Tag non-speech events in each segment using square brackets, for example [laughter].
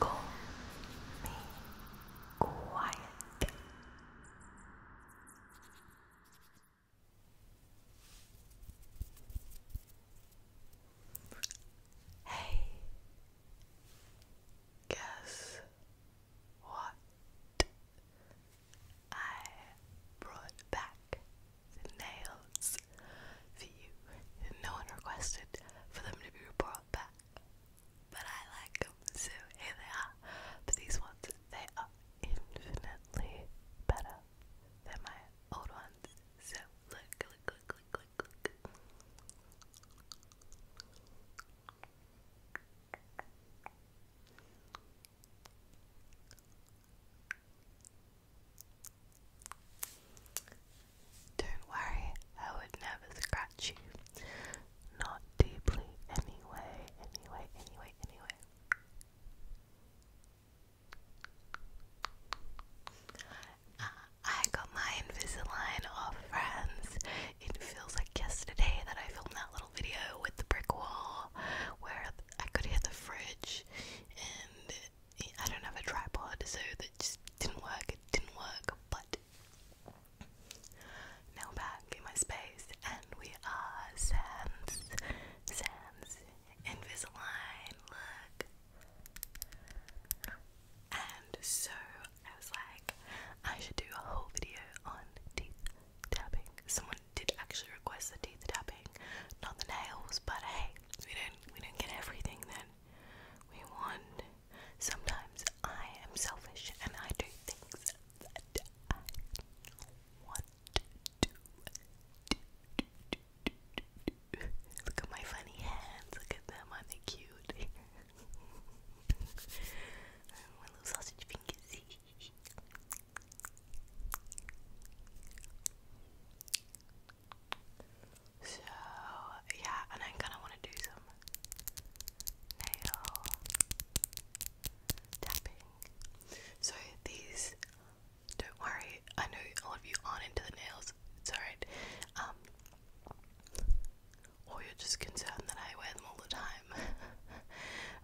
Go be quiet. Hey, guess what I brought back nails for you. No one requested for them to be brought back, but I like them, so here they are. But these ones, they are infinitely better than my old ones. So look, look, look, look, look, look. Don't worry, I would never scratch you. Not deeply, anyway, anyway, anyway, anyway. Uh, I got my Invisalign off, friends. It feels like yesterday that I filmed that little video with the brick wall where I could hear the fridge and I don't have a tripod, so that just didn't work. It didn't work, but now back in my space, and we are Sans, Sans, Invisalign. Look, and so I was like, I should do a whole video on teeth tapping. Someone did actually request the teeth tapping, not the nails, but hey, we didn't get everything that we want. Sometimes I am selfish and I do things that I want to do. Look at my funny hands. Look at them. are they cute? [laughs] my little sausage fingers. So yeah, and I kinda wanna do some nail tapping. So these don't worry, I know all of you aren't into the nails, it's alright. or um, you're just concerned that I wear them all the time. [laughs]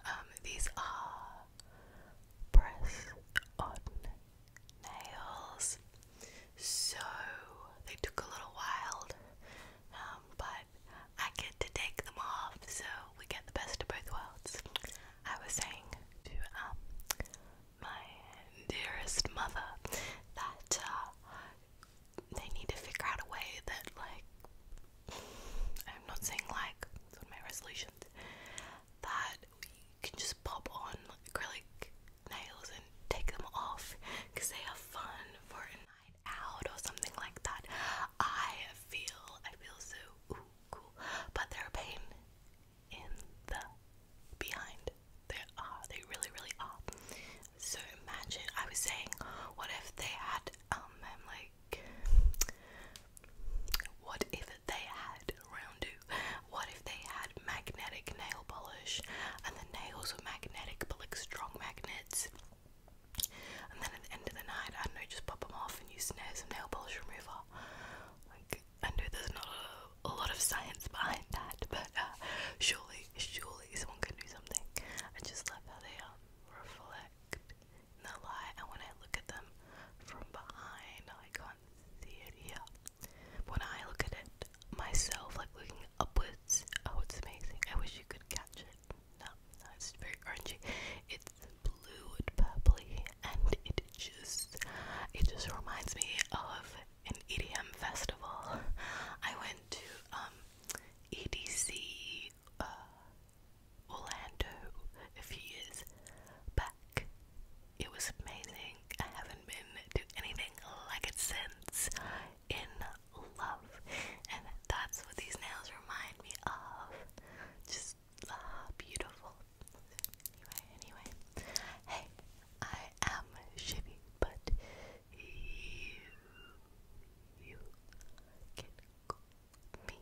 Um, these are press on nails. So they took a little while, um, but I get to take them off, so we get the best of both worlds. I was saying to um, my dearest mother that uh, they need to figure out a way that, like, I'm not saying like, one of my resolutions, that can just pop on acrylic nails and take them off they are fun for a night out or something like that. I feel I feel so ooh, cool, but they're pain in the behind. They are. They really, really are. So imagine. I was saying, what if they had um, like, what if they had roundu? What if they had magnetic nail polish and the nails were magnetic but like strong magnets? And then at the end of the night, I don't know, just pop them off and use some nail polish remover. Like, I know there's not a, lot of science behind that, but uh, surely, surely someone can do something. I just love how they um, reflect the light, and when I look at them from behind, I can theory. When I look at it myself, like looking upwards, oh, it's amazing. I wish you could catch it. No, it's very orangey. It's blue and purpley, and it just, it just reminds me of an EDM festival. I went to um, EDC uh, Orlando a few years back, it was amazing. I haven't been to anything like it since. In love. And that's what these nails remind me of. Just ah, beautiful. Anyway, anyway. Hey, I am Shivy, but you, you can call me.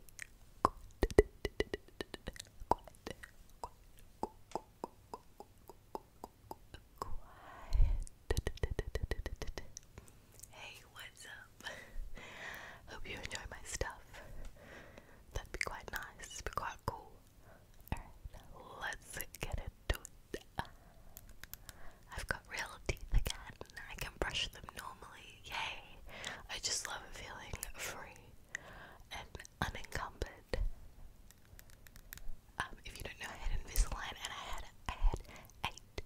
Hey, what's up? [laughs] Hope you enjoy my stuff. That'd be quite nice, be quite cool. let's get into it. I've got real teeth again. I can brush them normally. Yay! I just love feeling free and unencumbered. Um, if you don't know, I had Invisalign and I had I had eight,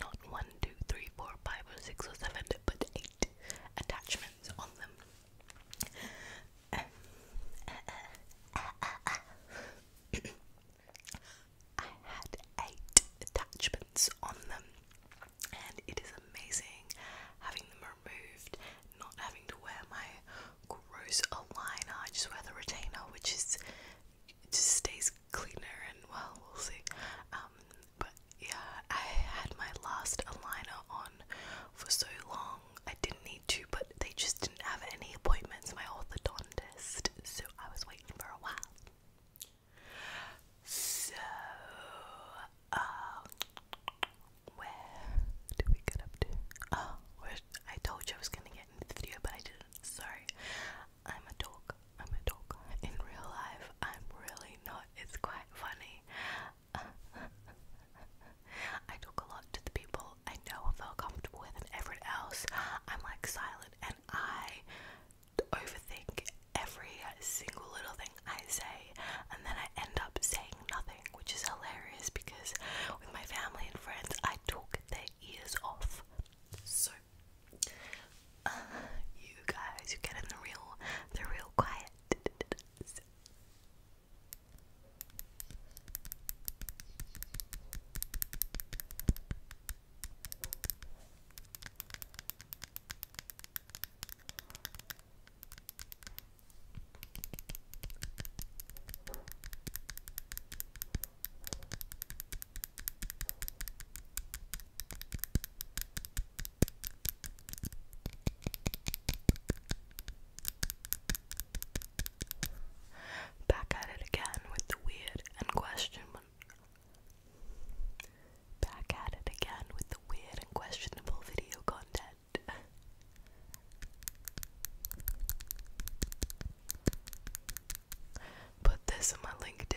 not one, two, three, four, five, or six, or seven, but eight attachments on them. I had eight attachments on them, and it is amazing having them removed, not having to wear my gross aligner. I just wear the retainer, which is just stays cleaner and well, we'll see. Um, but yeah, I had my last aligner on for so long. I didn't need to, but they just didn't have any appointments. My orthodontist, so I was waiting for a while. So, uh, where do we get up to? Oh, I told you I was gonna get into the video, but I didn't. Sorry. I'm a dog. I'm a dog. In real life, I'm really not. It's quite funny. [laughs] I talk a lot to the people I know I feel comfortable with, and everyone else, I'm like silent and I overthink every single little thing I say, and then I end up saying nothing, which is hilarious because with my family and friends, I took their ears off. So, uh, you guys, you get in the real, the real quiet. Back at it again with the weird and questionable. Back at it again with the weird and questionable video content. Put this in my LinkedIn.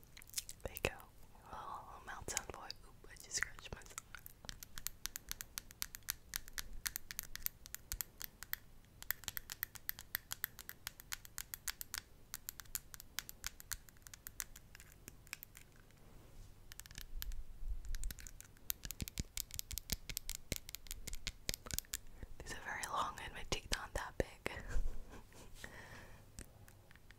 There you go. Oh, mouth sound boy. Oop, I just scratched myself. These are very long and my teeth aren't that big. [laughs]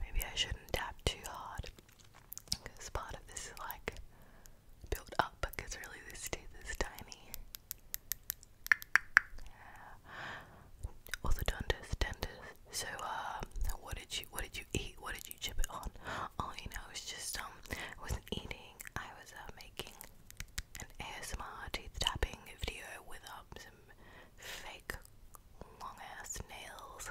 Maybe I shouldn't tap too hard because part of this is like built up because really this teeth is tiny. Orthodontist, dentist. So, um, what did you, what did you eat? What did you chip it on? Oh, you know, it's just, um, I wasn't eating. I was, uh, making an ASMR teeth tapping video with, um, some fake long ass nails.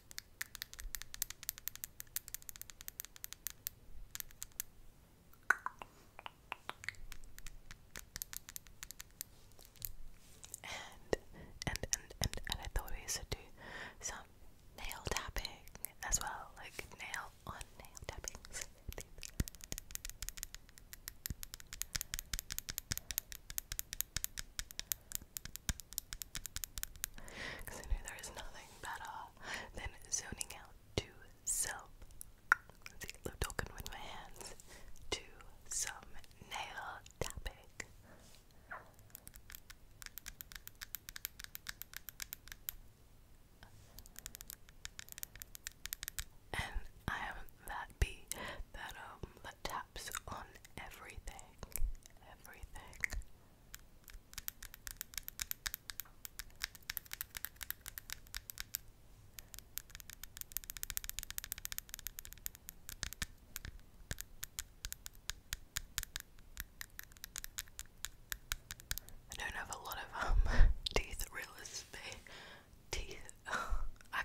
And and and and and I thought we should do some nail tapping as well, like nail on nail tappings. Because I knew there is nothing better than zoning out to some. Let's get the talking with my hands to some nail topic. And I am that bee um, that taps on everything, everything. I don't have a lot of um [laughs] teeth realistically. Teeth. [laughs] I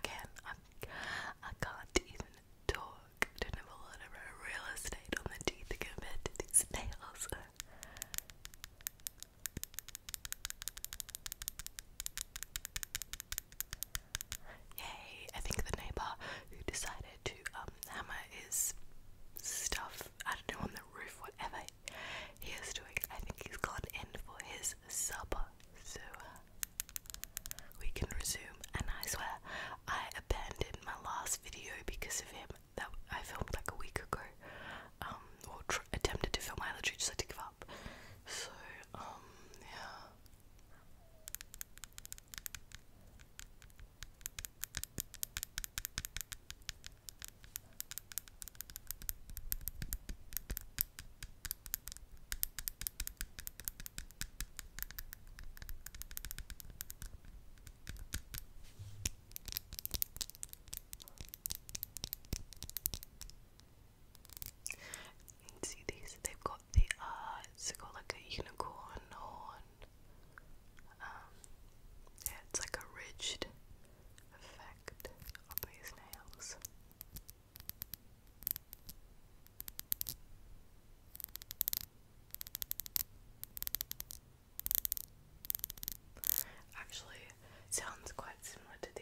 can. I, I can't even talk fork. I not have a lot of real estate on the teeth compared to these nails. Yay! I think the neighbor who decided to um, hammer his stuff, I don't know, on the roof, whatever he is doing, I think he's gone in for his supper. So we can resume, and I swear I abandoned my last video because of him that I filmed like a week ago. Um, or attempted to film. I literally just had to give up. So, um, yeah see these, they've got the uh it's got like a unicorn horn. Um it's like a ridged effect on these nails. Actually, sounds quite similar to these.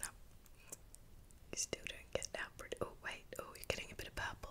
No. You still don't get that pretty. Oh, wait. Oh, you're getting a bit of purple.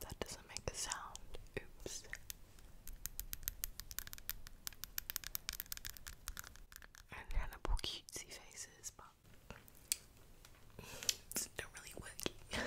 That doesn't make a sound. Oops. And Hannibal cutesy faces, but it's not really working. [laughs]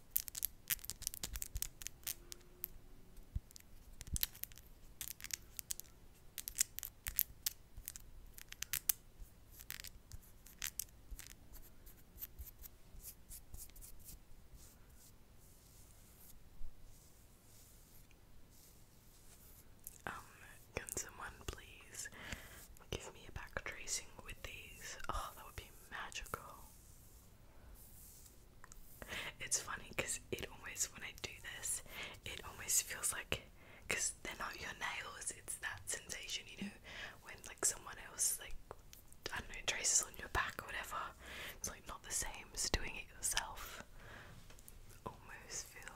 Um, can someone please give me a back tracing with these? Oh, that would be magical. It's funny because it always when I do this, it almost feels like, because they're not your nails, it's that sensation, you know, when like someone else, like, I don't know, traces on your back or whatever. It's like not the same as doing it yourself. Almost feel.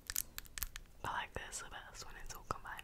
I like this the best when it's all combined.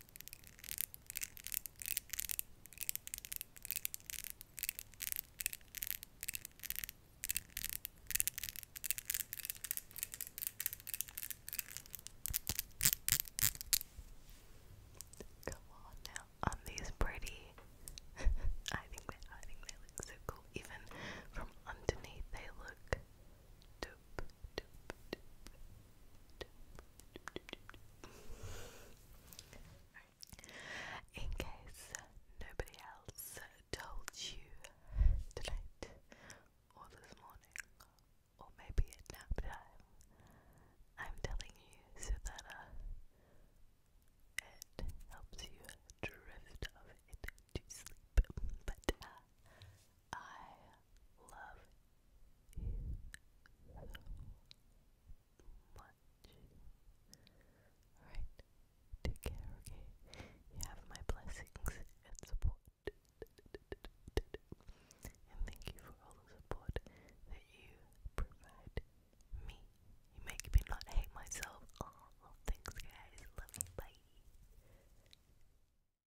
Come on now, on these pretty. [laughs] I think they, I think they look so cool. Even from underneath, they look dope. In case nobody else told you tonight or this morning or maybe at nap time, I'm telling you so that uh, it helps you drift off into sleep. But uh, I love you so much. Alright, take care, You have my blessings and support. And thank you for all the support that you provide me. You make me not hate myself. thanks, guys. Love you. Bye.